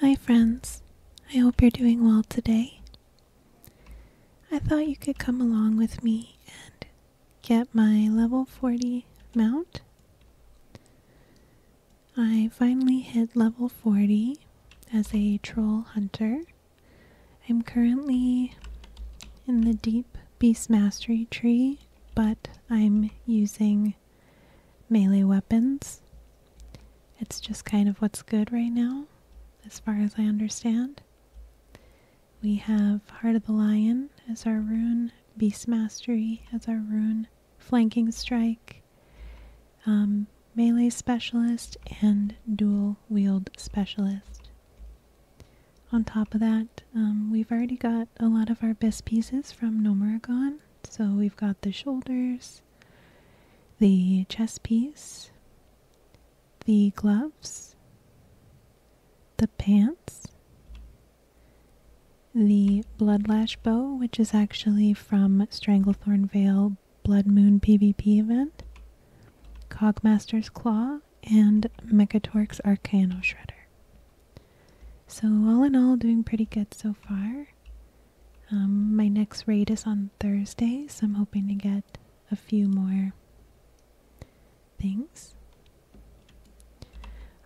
Hi, friends. I hope you're doing well today. I thought you could come along with me and get my level 40 mount. I finally hit level 40 as a troll hunter, I'm currently in the deep beast mastery tree, but I'm using melee weapons. It's just kind of what's good right now, as far as I understand. We have Heart of the Lion as our rune, Beast Mastery as our rune, Flanking Strike, um, Melee Specialist, and Dual Wield Specialist. On top of that, um, we've already got a lot of our best pieces from Nomuragon. So we've got the shoulders, the chest piece, the gloves, the pants, the bloodlash bow, which is actually from Stranglethorn Vale Blood Moon PvP event, Cogmaster's Claw, Claw and Mechatorx Arcano Shredder. So, all in all, doing pretty good so far. Um, my next raid is on Thursday, so I'm hoping to get a few more things.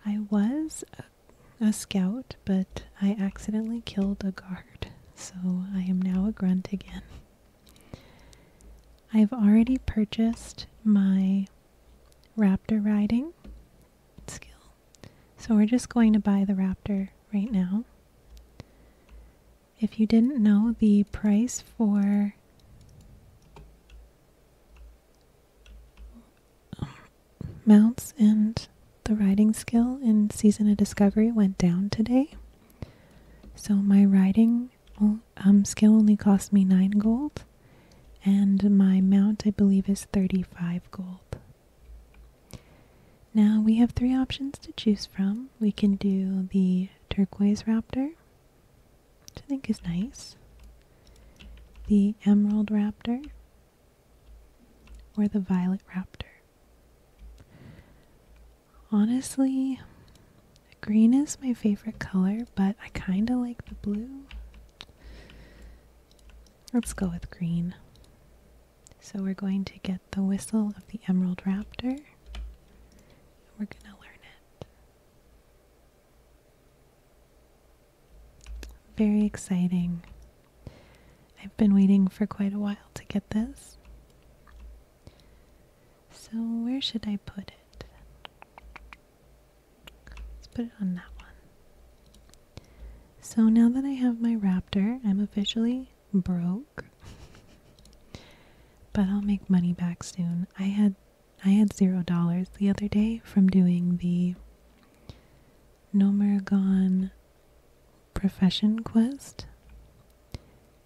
I was a scout, but I accidentally killed a guard, so I am now a grunt again. I've already purchased my raptor riding skill. So we're just going to buy the raptor right now. If you didn't know, the price for mounts and the riding skill in Season of Discovery went down today. So my riding skill um skill only cost me 9 gold and my mount I believe is 35 gold. Now we have three options to choose from. We can do the turquoise raptor, which I think is nice. The emerald raptor or the violet raptor. Honestly, green is my favorite color, but I kind of like the blue. Let's go with green. So we're going to get the whistle of the emerald raptor. We're going to learn it. Very exciting. I've been waiting for quite a while to get this. So where should I put it? Let's put it on that one. So now that I have my raptor, I'm officially broke. but I'll make money back soon. I had I had zero dollars the other day from doing the Nomergon profession quest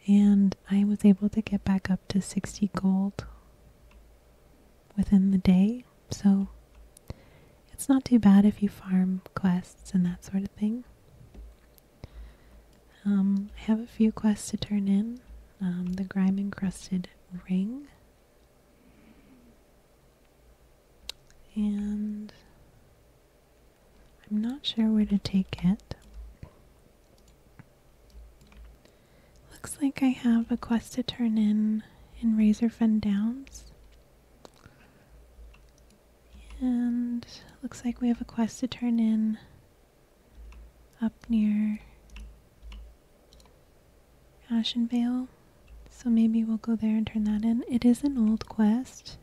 and I was able to get back up to 60 gold within the day. So it's not too bad if you farm quests and that sort of thing. Um, I have a few quests to turn in. Um, the grime encrusted ring. And I'm not sure where to take it. Looks like I have a quest to turn in in Razorfen Downs. And looks like we have a quest to turn in up near Ashenvale. So maybe we'll go there and turn that in. It is an old quest.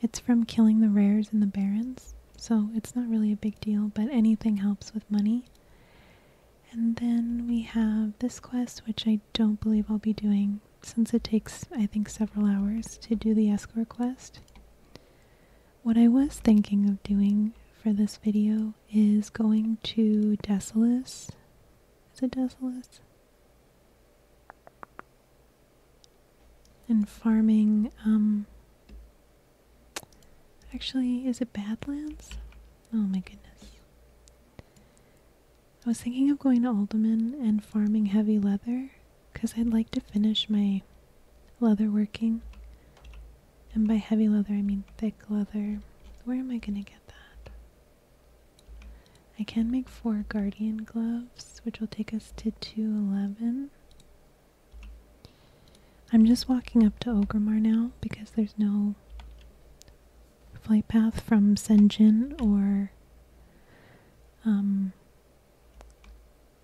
It's from killing the rares in the barrens. So it's not really a big deal, but anything helps with money. And then we have this quest, which I don't believe I'll be doing since it takes, I think, several hours to do the escort quest. What I was thinking of doing for this video is going to Desolus. Is it Desolus? And farming um, Actually, is it Badlands? Oh my goodness. I was thinking of going to Alderman and farming heavy leather because I'd like to finish my leather working. And by heavy leather, I mean thick leather. Where am I going to get that? I can make four guardian gloves, which will take us to 211. I'm just walking up to Ogremar now because there's no flight path from Senjin or um,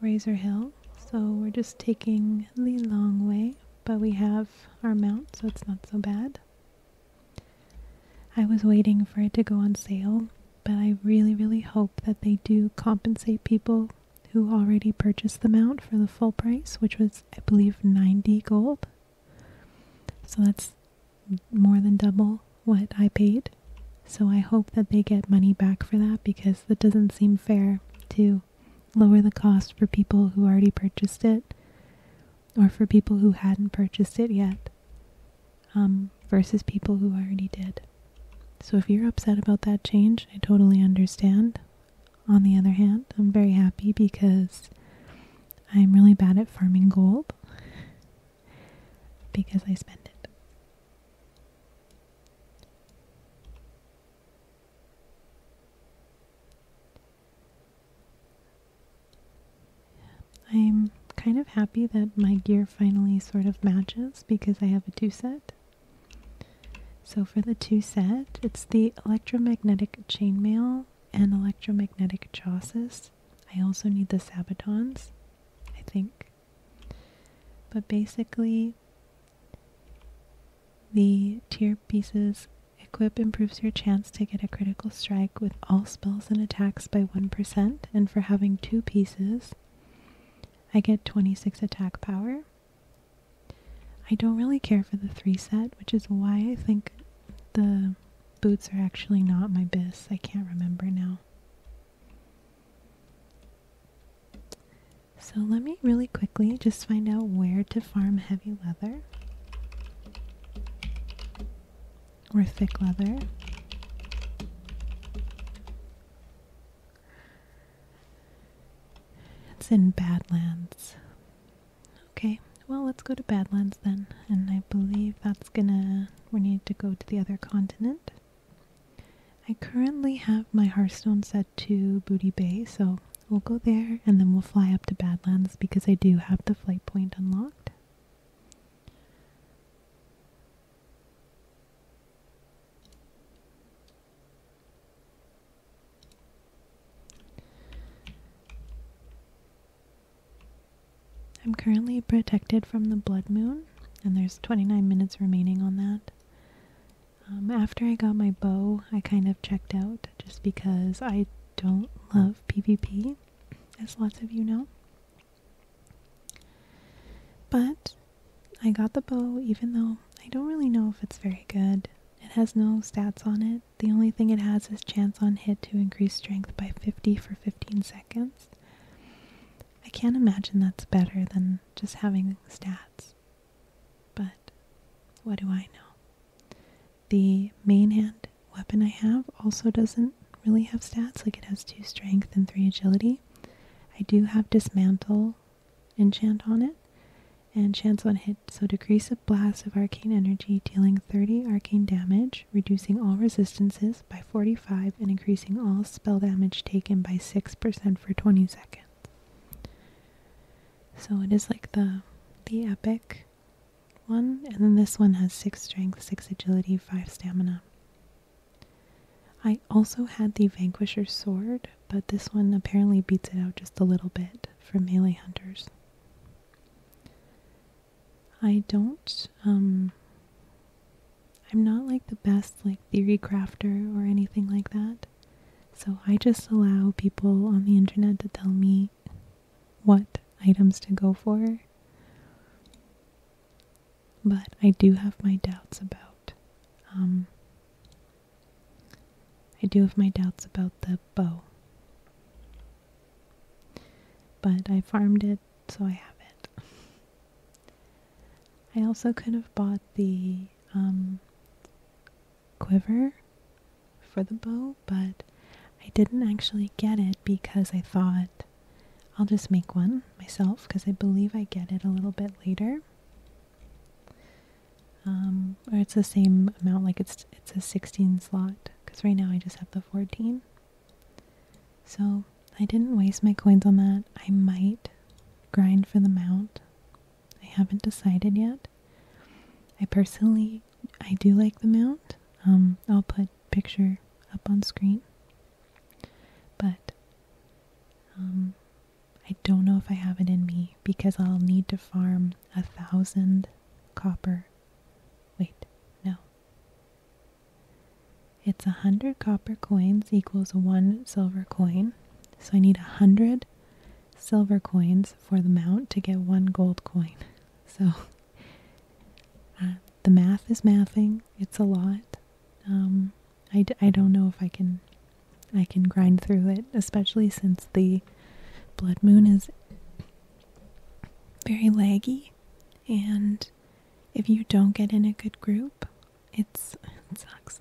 Razor Hill. So we're just taking the long way, but we have our mount, so it's not so bad. I was waiting for it to go on sale, but I really, really hope that they do compensate people who already purchased the mount for the full price, which was, I believe, 90 gold. So that's more than double what I paid. So I hope that they get money back for that because that doesn't seem fair to lower the cost for people who already purchased it or for people who hadn't purchased it yet um, versus people who already did. So if you're upset about that change, I totally understand. On the other hand, I'm very happy because I'm really bad at farming gold because I spend it. I'm kind of happy that my gear finally sort of matches because I have a two set so for the two set, it's the electromagnetic chainmail and electromagnetic chausses. I also need the sabatons, I think. But basically, the tier pieces equip improves your chance to get a critical strike with all spells and attacks by 1%, and for having two pieces, I get 26 attack power. I don't really care for the 3 set, which is why I think the boots are actually not my bis. I can't remember now. So let me really quickly just find out where to farm heavy leather or thick leather. It's in Badlands. Okay, well, let's go to Badlands then. And I believe that's gonna. We need to go to the other continent. I currently have my Hearthstone set to Booty Bay, so we'll go there and then we'll fly up to Badlands because I do have the flight point unlocked. I'm currently protected from the blood moon, and there's 29 minutes remaining on that. Um, after I got my bow, I kind of checked out just because I don't love PvP, as lots of you know. But I got the bow even though I don't really know if it's very good. It has no stats on it. The only thing it has is chance on hit to increase strength by 50 for 15 seconds. I can't imagine that's better than just having stats. But what do I know? The main hand weapon I have also doesn't really have stats, like it has 2 strength and 3 agility. I do have dismantle enchant on it. And chance on hit, so decrease a blast of arcane energy, dealing 30 arcane damage, reducing all resistances by 45, and increasing all spell damage taken by 6% for 20 seconds. So it is like the the epic one, and then this one has 6 strength, 6 agility, 5 stamina. I also had the Vanquisher sword, but this one apparently beats it out just a little bit for melee hunters. I don't, um, I'm not like the best like theory crafter or anything like that. So I just allow people on the internet to tell me what items to go for but I do have my doubts about. Um, I do have my doubts about the bow. But I farmed it, so I have it. I also could have bought the um, quiver for the bow, but I didn't actually get it because I thought I'll just make one myself because I believe I get it a little bit later. Um, or it's the same amount, like it's it's a 16 slot because right now I just have the 14. So I didn't waste my coins on that. I might grind for the mount. I haven't decided yet. I personally I do like the mount. Um, I'll put picture up on screen but um, I don't know if I have it in me because I'll need to farm a thousand copper. Wait, no. It's a hundred copper coins equals one silver coin. So I need a hundred silver coins for the mount to get one gold coin. So uh, the math is mathing, it's a lot. Um, I d I don't know if I can I can grind through it, especially since the blood moon is very laggy and if you don't get in a good group, it's it sucks.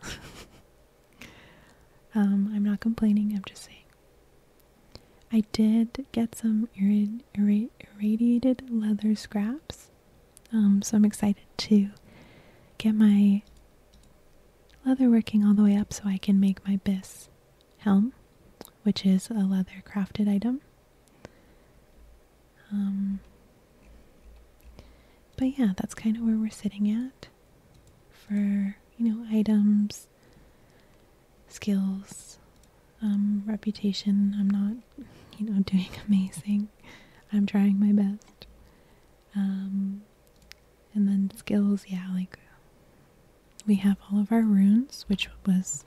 um, I'm not complaining, I'm just saying. I did get some irradiated leather scraps um, so I'm excited to get my leather working all the way up so I can make my bis helm, which is a leather crafted item. Um, but yeah, that's kind of where we're sitting at for, you know, items, skills, um, reputation. I'm not you know, doing amazing. I'm trying my best. Um, and then skills, yeah, like we have all of our runes, which was,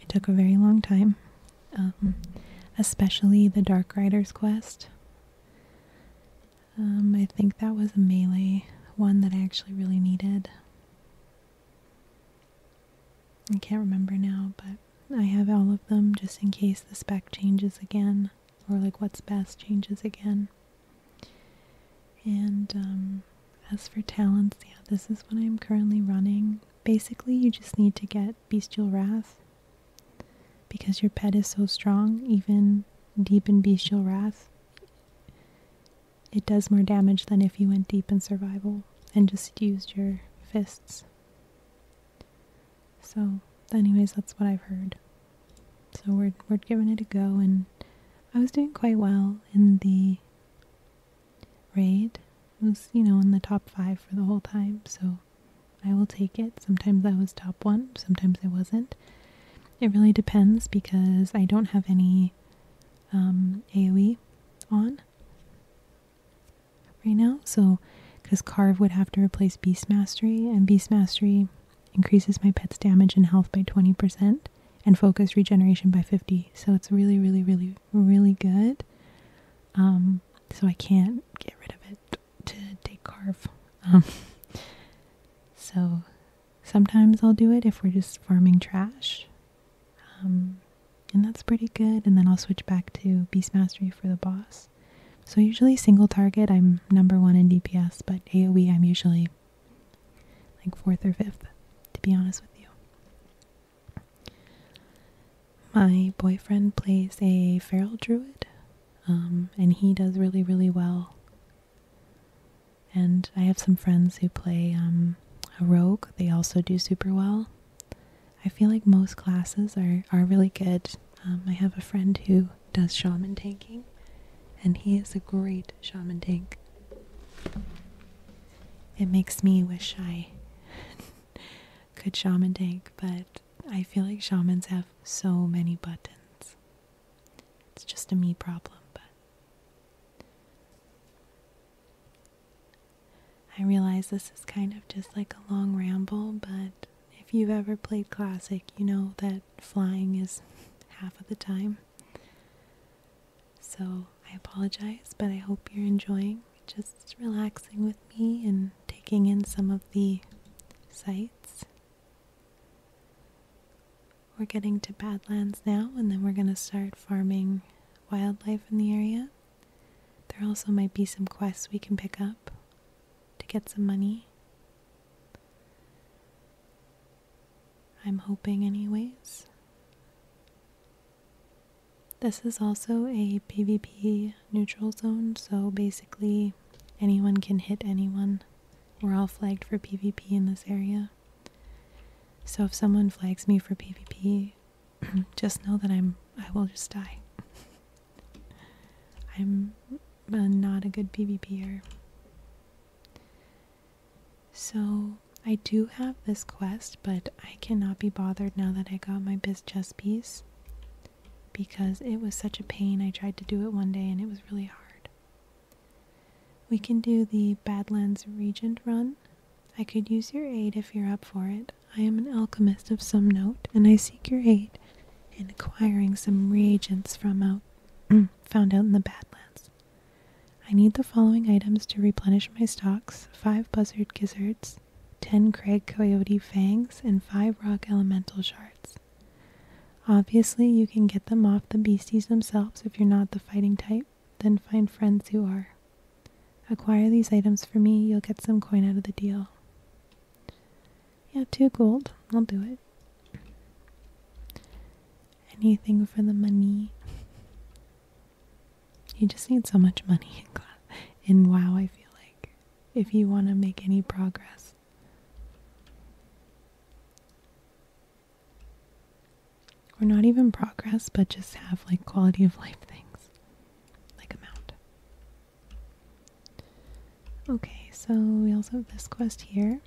it took a very long time. Um, especially the Dark Rider's quest. Um, I think that was a melee one that I actually really needed. I can't remember now, but I have all of them just in case the spec changes again or like what's best changes again. And um, as for talents, yeah, this is what I'm currently running. Basically, you just need to get Bestial Wrath because your pet is so strong, even deep in Bestial Wrath, it does more damage than if you went deep in survival and just used your fists. So, anyways, that's what I've heard. So we're we're giving it a go, and I was doing quite well in the raid. It was, you know, in the top five for the whole time. So I will take it. Sometimes I was top one, sometimes I wasn't. It really depends because I don't have any um, AoE on right now. So, because Carve would have to replace Beast Mastery, and Beast Mastery increases my pet's damage and health by 20% and focus regeneration by 50. So it's really, really, really, really good. Um, so I can't get rid of it to take Carve. Um, so sometimes I'll do it if we're just farming trash um, and that's pretty good. And then I'll switch back to Beast Mastery for the boss. So usually single target, I'm number one in DPS, but AoE, I'm usually like fourth or fifth, to be honest with you. My boyfriend plays a feral druid, um, and he does really, really well. And I have some friends who play um, a rogue. They also do super well. I feel like most classes are, are really good. Um, I have a friend who does shaman tanking, and he is a great shaman tank. It makes me wish I could shaman tank, but I feel like shamans have so many buttons. It's just a me problem, but I realize this is kind of just like a long ramble, but if you've ever played Classic, you know that flying is half of the time. So I apologize, but I hope you're enjoying just relaxing with me and taking in some of the sights. We're getting to Badlands now, and then we're going to start farming wildlife in the area. There also might be some quests we can pick up to get some money. I'm hoping, anyways. This is also a PvP neutral zone, so basically anyone can hit anyone. We're all flagged for PvP in this area. So if someone flags me for PvP, just know that I'm I will just die. I'm uh, not a good PvPer. So I do have this quest, but I cannot be bothered now that I got my biz chess piece because it was such a pain. I tried to do it one day and it was really hard. We can do the Badlands Regent run I could use your aid if you're up for it. I am an alchemist of some note, and I seek your aid in acquiring some reagents from out mm, found out in the Badlands. I need the following items to replenish my stocks five buzzard gizzards, ten Craig coyote fangs, and five rock elemental shards. Obviously, you can get them off the beasties themselves if you're not the fighting type. Then find friends you are. Acquire these items for me, you'll get some coin out of the deal. Yeah, two gold. I'll do it. Anything for the money. You just need so much money in, class. in WoW, I feel like, if you want to make any progress or not even progress, but just have like quality of life things like a mount. Okay, so we also have this quest here.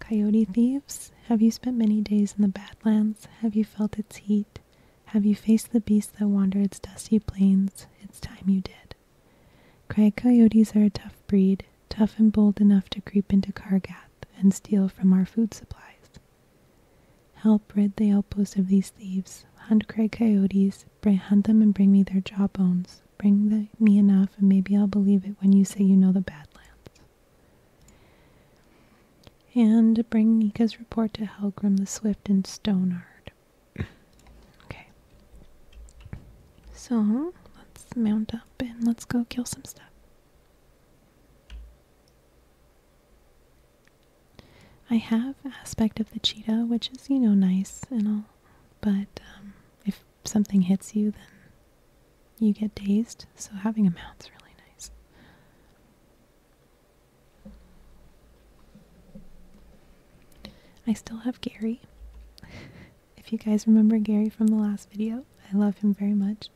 Coyote thieves, have you spent many days in the Badlands? Have you felt its heat? Have you faced the beasts that wander its dusty plains? It's time you did. Craig coyotes are a tough breed, tough and bold enough to creep into Cargath and steal from our food supplies. Help rid the outpost of these thieves. Hunt cray coyotes. Bring, hunt them and bring me their jawbones. Bring me enough, and maybe I'll believe it when you say you know the Badlands. And bring Nika's report to Helgrim the Swift and Stonard. okay. So, let's mount up and let's go kill some stuff. I have aspect of the cheetah, which is, you know, nice and all, but um, if something hits you, then you get dazed, so having a mount's really nice. I still have Gary. if you guys remember Gary from the last video, I love him very much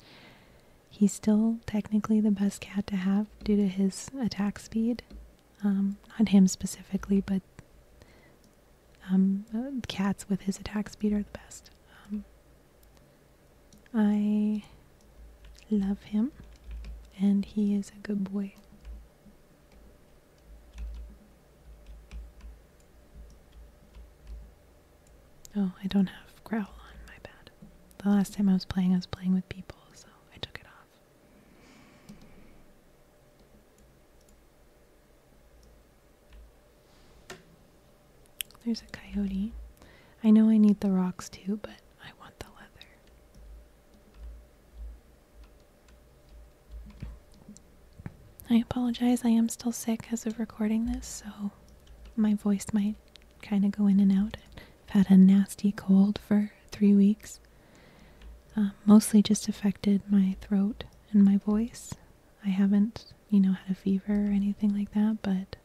he's still technically the best cat to have due to his attack speed. Um, not him specifically, but um, uh, cats with his attack speed are the best. Um, I love him, and he is a good boy. Oh, I don't have growl on, my bad. The last time I was playing, I was playing with people, so I took it off. There's a coyote. I know I need the rocks too, but I want the leather. I apologize, I am still sick as of recording this, so my voice might kind of go in and out. I've had a nasty cold for three weeks. Um, mostly just affected my throat and my voice. I haven't, you know, had a fever or anything like that, but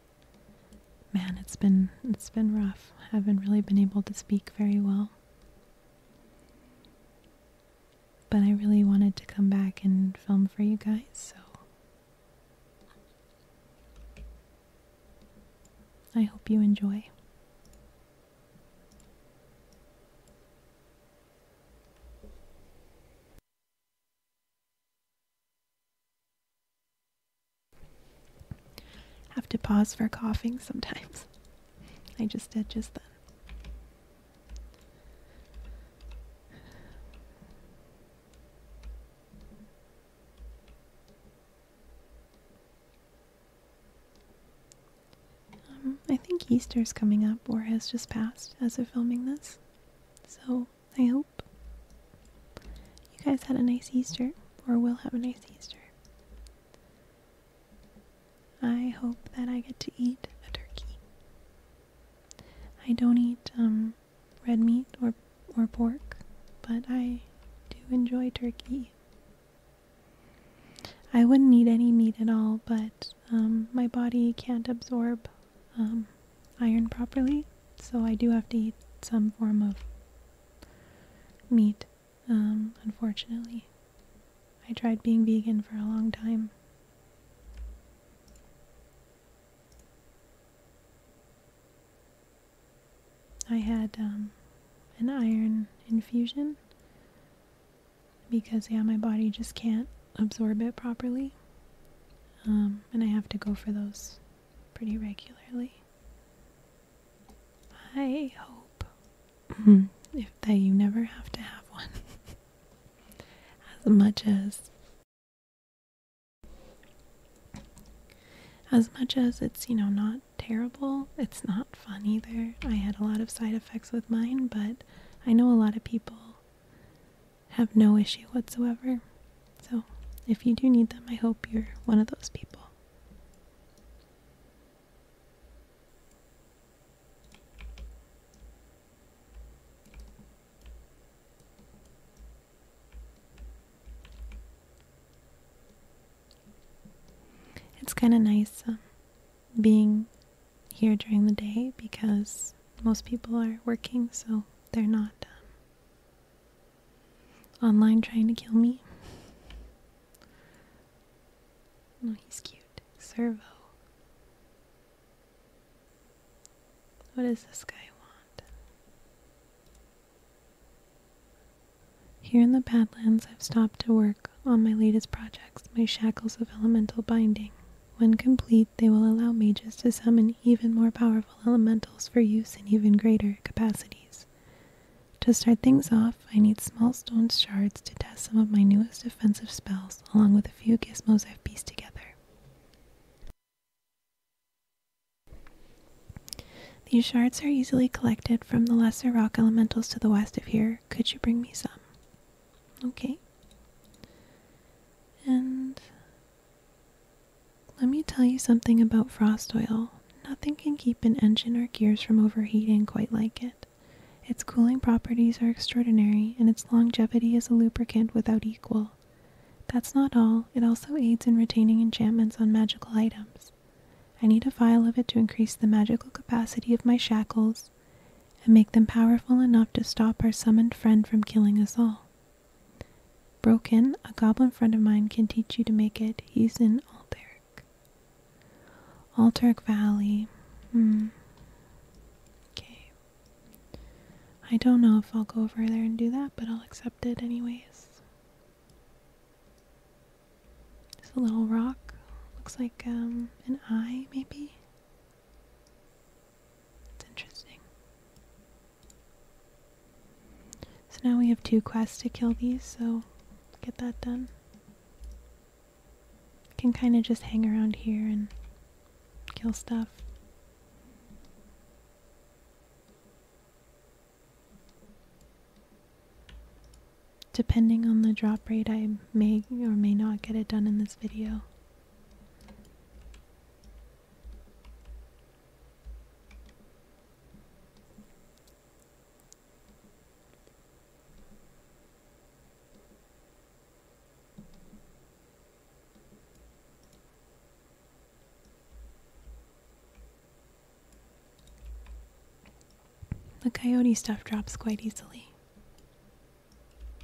man, it's been it's been rough. I haven't really been able to speak very well. But I really wanted to come back and film for you guys, so I hope you enjoy. Have to pause for coughing sometimes. I just did just then. Um, I think Easter's coming up or has just passed as we're filming this. So I hope you guys had a nice Easter or will have a nice Easter. I hope that I get to eat a turkey. I don't eat um red meat or or pork, but I do enjoy turkey. I wouldn't eat any meat at all, but um, my body can't absorb um, iron properly, so I do have to eat some form of meat, um, unfortunately. I tried being vegan for a long time. I had um, an iron infusion because, yeah, my body just can't absorb it properly. Um, and I have to go for those pretty regularly. I hope mm-hmm. if, that you never have to have one. as much as as much as it's, you know, not terrible, it's not fun either. I had a lot of side effects with mine, but I know a lot of people have no issue whatsoever. So, if you do need them, I hope you're one of those people. It's kind of nice um, being here during the day because most people are working, so they're not um, online trying to kill me. No, oh, he's cute. Servo. What does this guy want? Here in the Badlands, I've stopped to work on my latest projects, my shackles of elemental binding. When complete, they will allow mages to summon even more powerful elementals for use in even greater capacities. To start things off, I need small stone shards to test some of my newest defensive spells, along with a few gizmos I've pieced together. These shards are easily collected from the lesser rock elementals to the west of here. Could you bring me some? Okay. And let me tell you something about frost oil. Nothing can keep an engine or gears from overheating quite like it. Its cooling properties are extraordinary, and its longevity as a lubricant without equal. That's not all, it also aids in retaining enchantments on magical items. I need a vial of it to increase the magical capacity of my shackles and make them powerful enough to stop our summoned friend from killing us all. Broke in a goblin friend of mine can teach you to make it. He's in Alteric. Alteric Valley. Hmm. Okay. I don't know if I'll go over there and do that, but I'll accept it anyways. It's a little rock. Looks like um, an eye, maybe? It's interesting. So now we have two quests to kill these, so get that done. Can kind of just hang around here and kill stuff. Depending on the drop rate, I may or may not get it done in this video. The coyote stuff drops quite easily,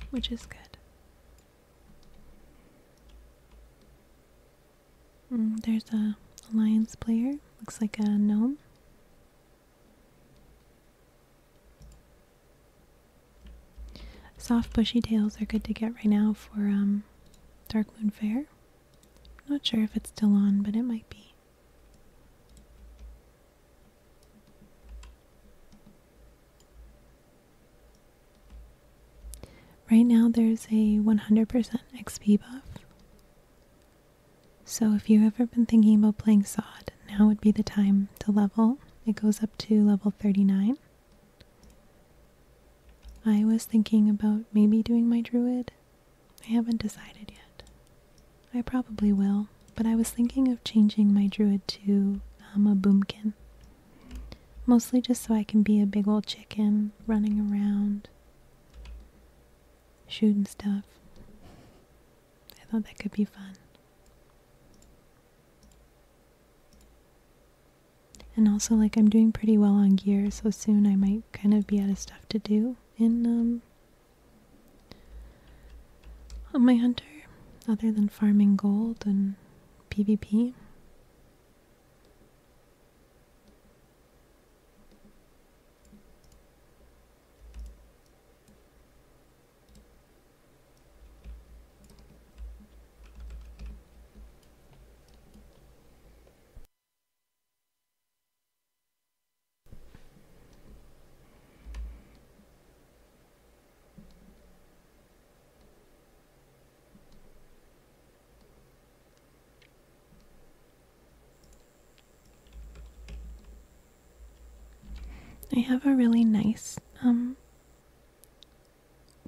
which is good. Mm, there's a alliance player. Looks like a gnome. Soft bushy tails are good to get right now for um, Dark Moon Fair. Not sure if it's still on, but it might be. Right now, there's a 100% XP buff. So, if you've ever been thinking about playing Sod, now would be the time to level. It goes up to level 39. I was thinking about maybe doing my druid. I haven't decided yet. I probably will, but I was thinking of changing my druid to um, a boomkin. Mostly just so I can be a big old chicken running around, shooting stuff. I thought that could be fun. And also, like, I'm doing pretty well on gear, so soon I might kind of be out of stuff to do in, um, on my hunter, other than farming gold and PvP. I have a really nice um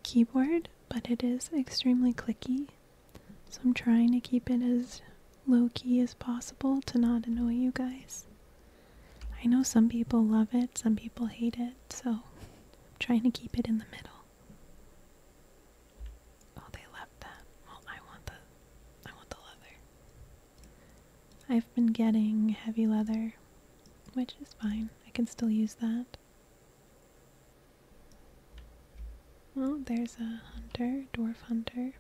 keyboard, but it is extremely clicky. So I'm trying to keep it as low key as possible to not annoy you guys. I know some people love it, some people hate it, so I'm trying to keep it in the middle. Oh, they left that. Well, I want the I want the leather. I've been getting heavy leather which is fine. I can still use that. Oh, there's a hunter, dwarf hunter.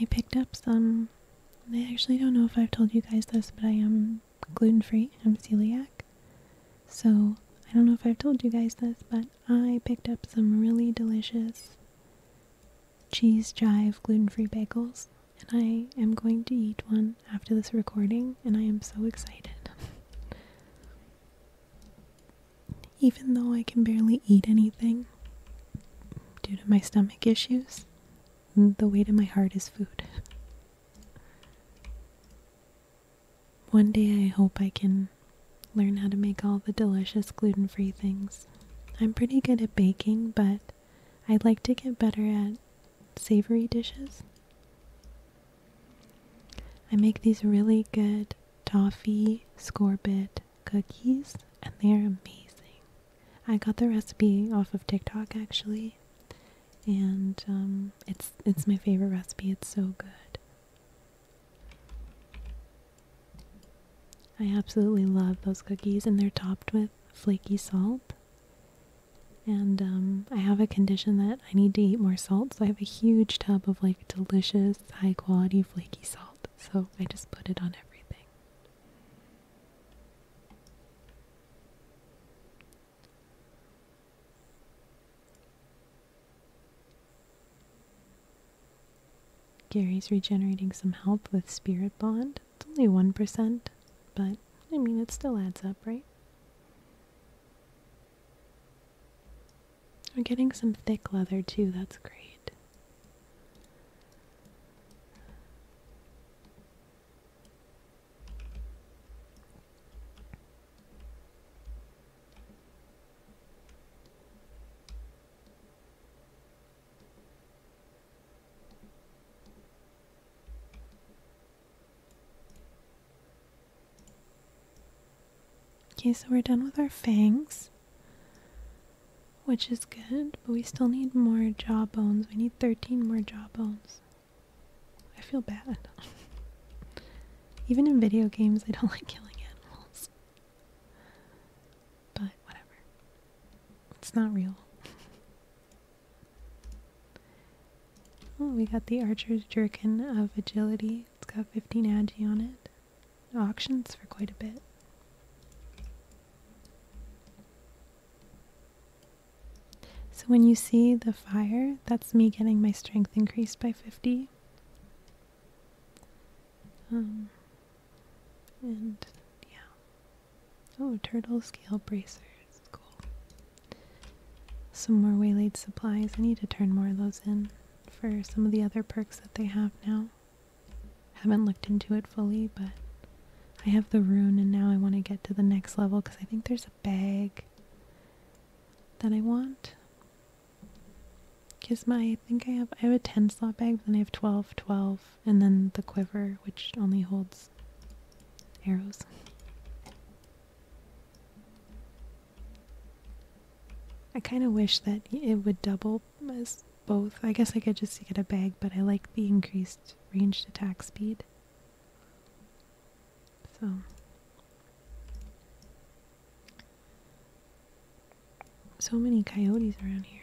I picked up some. I actually don't know if I've told you guys this, but I am gluten free. I'm celiac. So, I don't know if I've told you guys this, but I picked up some really delicious cheese jive gluten free bagels, and I am going to eat one after this recording, and I am so excited. Even though I can barely eat anything due to my stomach issues, the weight of my heart is food. One day I hope I can learn how to make all the delicious gluten free things. I'm pretty good at baking, but I'd like to get better at savory dishes. I make these really good toffee sorbet cookies, and they're amazing. I got the recipe off of TikTok actually, and um, it's it's my favorite recipe. It's so good. I absolutely love those cookies, and they're topped with flaky salt. And um, I have a condition that I need to eat more salt, so I have a huge tub of like delicious, high quality flaky salt. So I just put it on everything. Gary's regenerating some help with Spirit Bond. It's only 1%, but I mean, it still adds up, right? We're getting some thick leather too, that's great. Okay, so we're done with our fangs, which is good, but we still need more jaw bones. We need 13 more jaw bones. I feel bad. Even in video games, I don't like killing animals. But whatever. It's not real. Oh, we got the Archer's Jerkin of Agility. It's got 15 agi on it. Auctions for quite a bit. So when you see the fire, that's me getting my strength increased by 50. Um, and yeah. Oh, turtle scale bracers. Cool. Some more waylaid supplies. I need to turn more of those in for some of the other perks that they have now. Haven't looked into it fully, but I have the rune and now I want to get to the next level because I think there's a bag that I want. Because I think I have, I have a 10 slot bag, but then I have twelve, twelve, and then the quiver, which only holds arrows. I kind of wish that it would double as both. I guess I could just get a bag, but I like the increased ranged attack speed. So so many coyotes around here.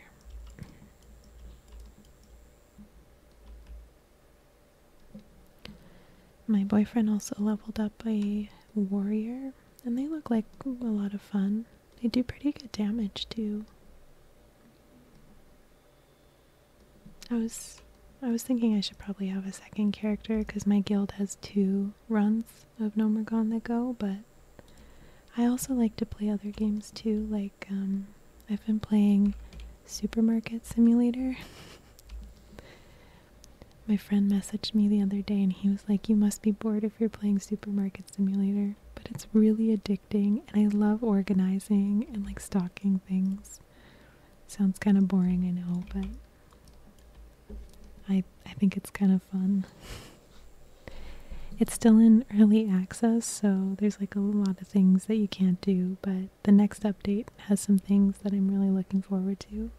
My boyfriend also leveled up a warrior, and they look like a lot of fun. They do pretty good damage too. I was I was thinking I should probably have a second character because my guild has two runs of Nomergon that go, but I also like to play other games too. Like um, I've been playing Supermarket Simulator. my friend messaged me the other day and he was like, "You must be bored if you're playing Supermarket Simulator." But it's really addictive and I love organizing and like stocking things. Sounds kind of boring, I know, but I I think it's kind of fun. It's still in early access, so there's like a lot of things that you can't do, but the next update has some things that I'm really looking forward to.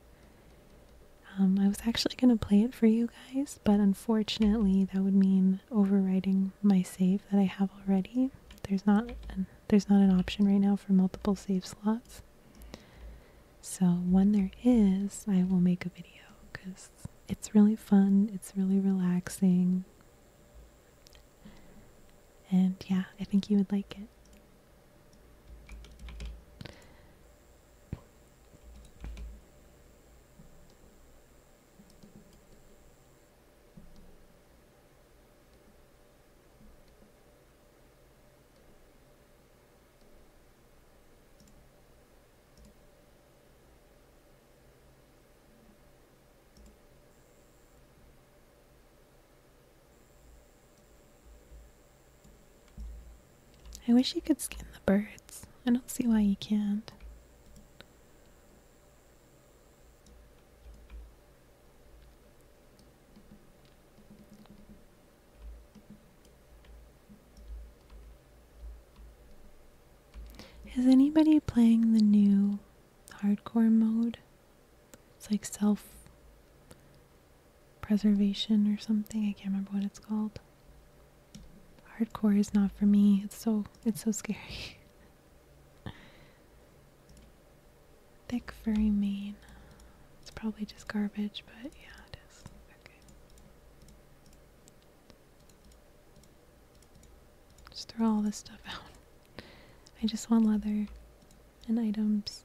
Um, I was actually going to play it for you guys, but unfortunately, that would mean overwriting my save that I have already. There's not an, there's not an option right now for multiple save slots. So when there is, I will make a video because it's really fun. It's really relaxing. And yeah, I think you would like it. I wish you could skin the birds. I don't see why you can't. Is anybody playing the new hardcore mode? It's like self preservation or something. I can't remember what it's called. Hardcore is not for me. It's so it's so scary. Thick furry mane. It's probably just garbage, but yeah, it is. Okay. Just throw all this stuff out. I just want leather and items.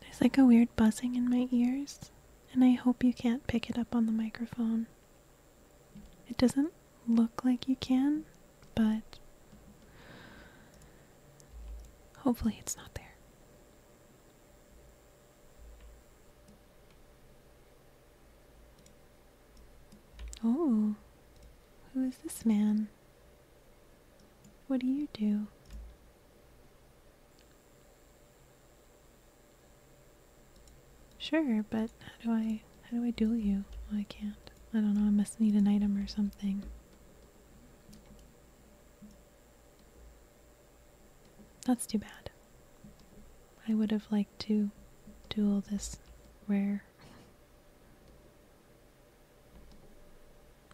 There's like a weird buzzing in my ears, and I hope you can't pick it up on the microphone. It doesn't look like you can, but hopefully it's not there. Oh, who is this man? What do you do? Sure, but how do I how do I duel you? Well, I can't. I don't know. I must need an item or something. That's too bad. I would have liked to duel this rare.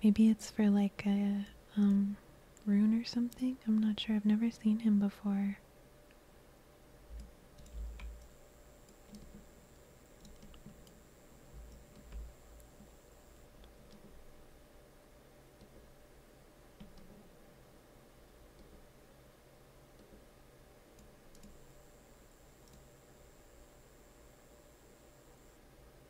Maybe it's for like a um, rune or something. I'm not sure. I've never seen him before.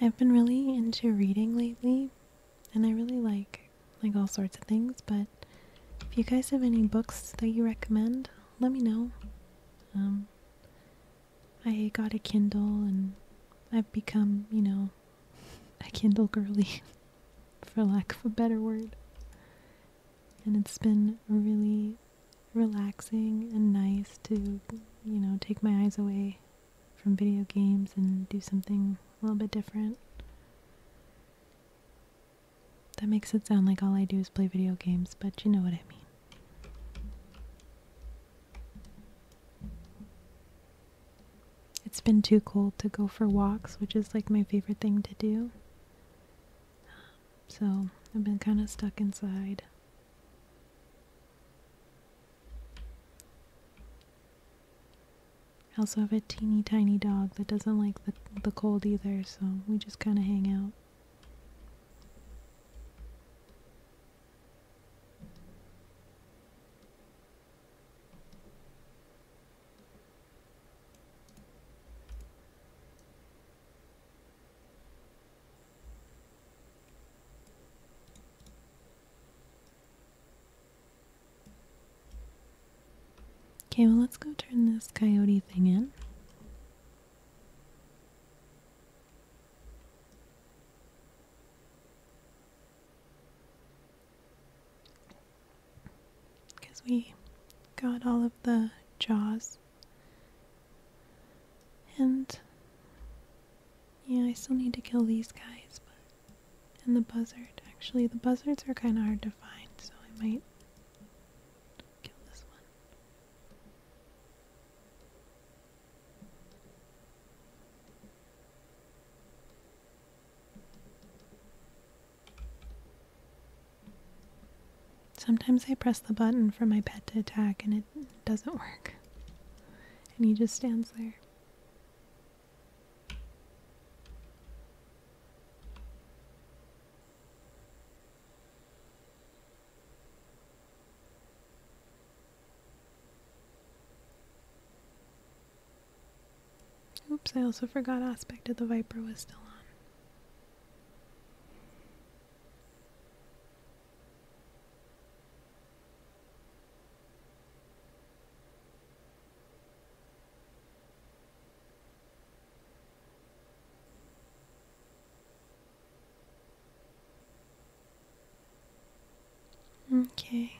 I've been really into reading lately, and I really like like all sorts of things, but if you guys have any books that you recommend, let me know. Um I got a Kindle and I've become, you know, a Kindle girly for lack of a better word. And it's been really relaxing and nice to, you know, take my eyes away from video games and do something a little bit different. That makes it sound like all I do is play video games, but you know what I mean. It's been too cold to go for walks, which is like my favorite thing to do. So I've been kind of stuck inside. I also have a teeny tiny dog that doesn't like the, the cold either, so we just kind of hang out. Okay, well, let's go turn this coyote thing in. Because we got all of the jaws and yeah, I still need to kill these guys, but and the buzzard. Actually, the buzzards are kind of hard to find, so I might kill this one. Sometimes I press the button for my pet to attack and it doesn't work. And he just stands there. Oops, I also forgot Aspect of the Viper was still on. Okay.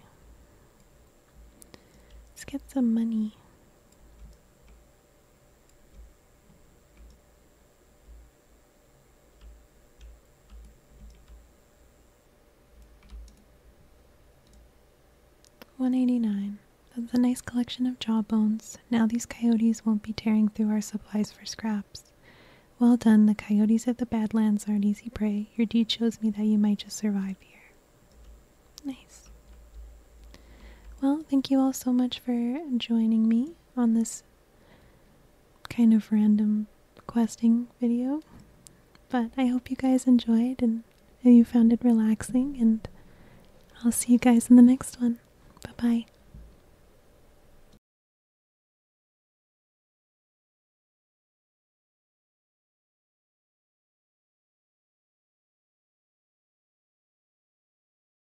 Let's get some money. 189. That's a nice collection of jawbones. Now these coyotes won't be tearing through our supplies for scraps. Well done, the coyotes of the Badlands aren't easy prey. Your deed shows me that you might just survive here. Nice. Well, thank you all so much for joining me on this kind of random questing video. But I hope you guys enjoyed and you found it relaxing, and I'll see you guys in the next one. Bye bye.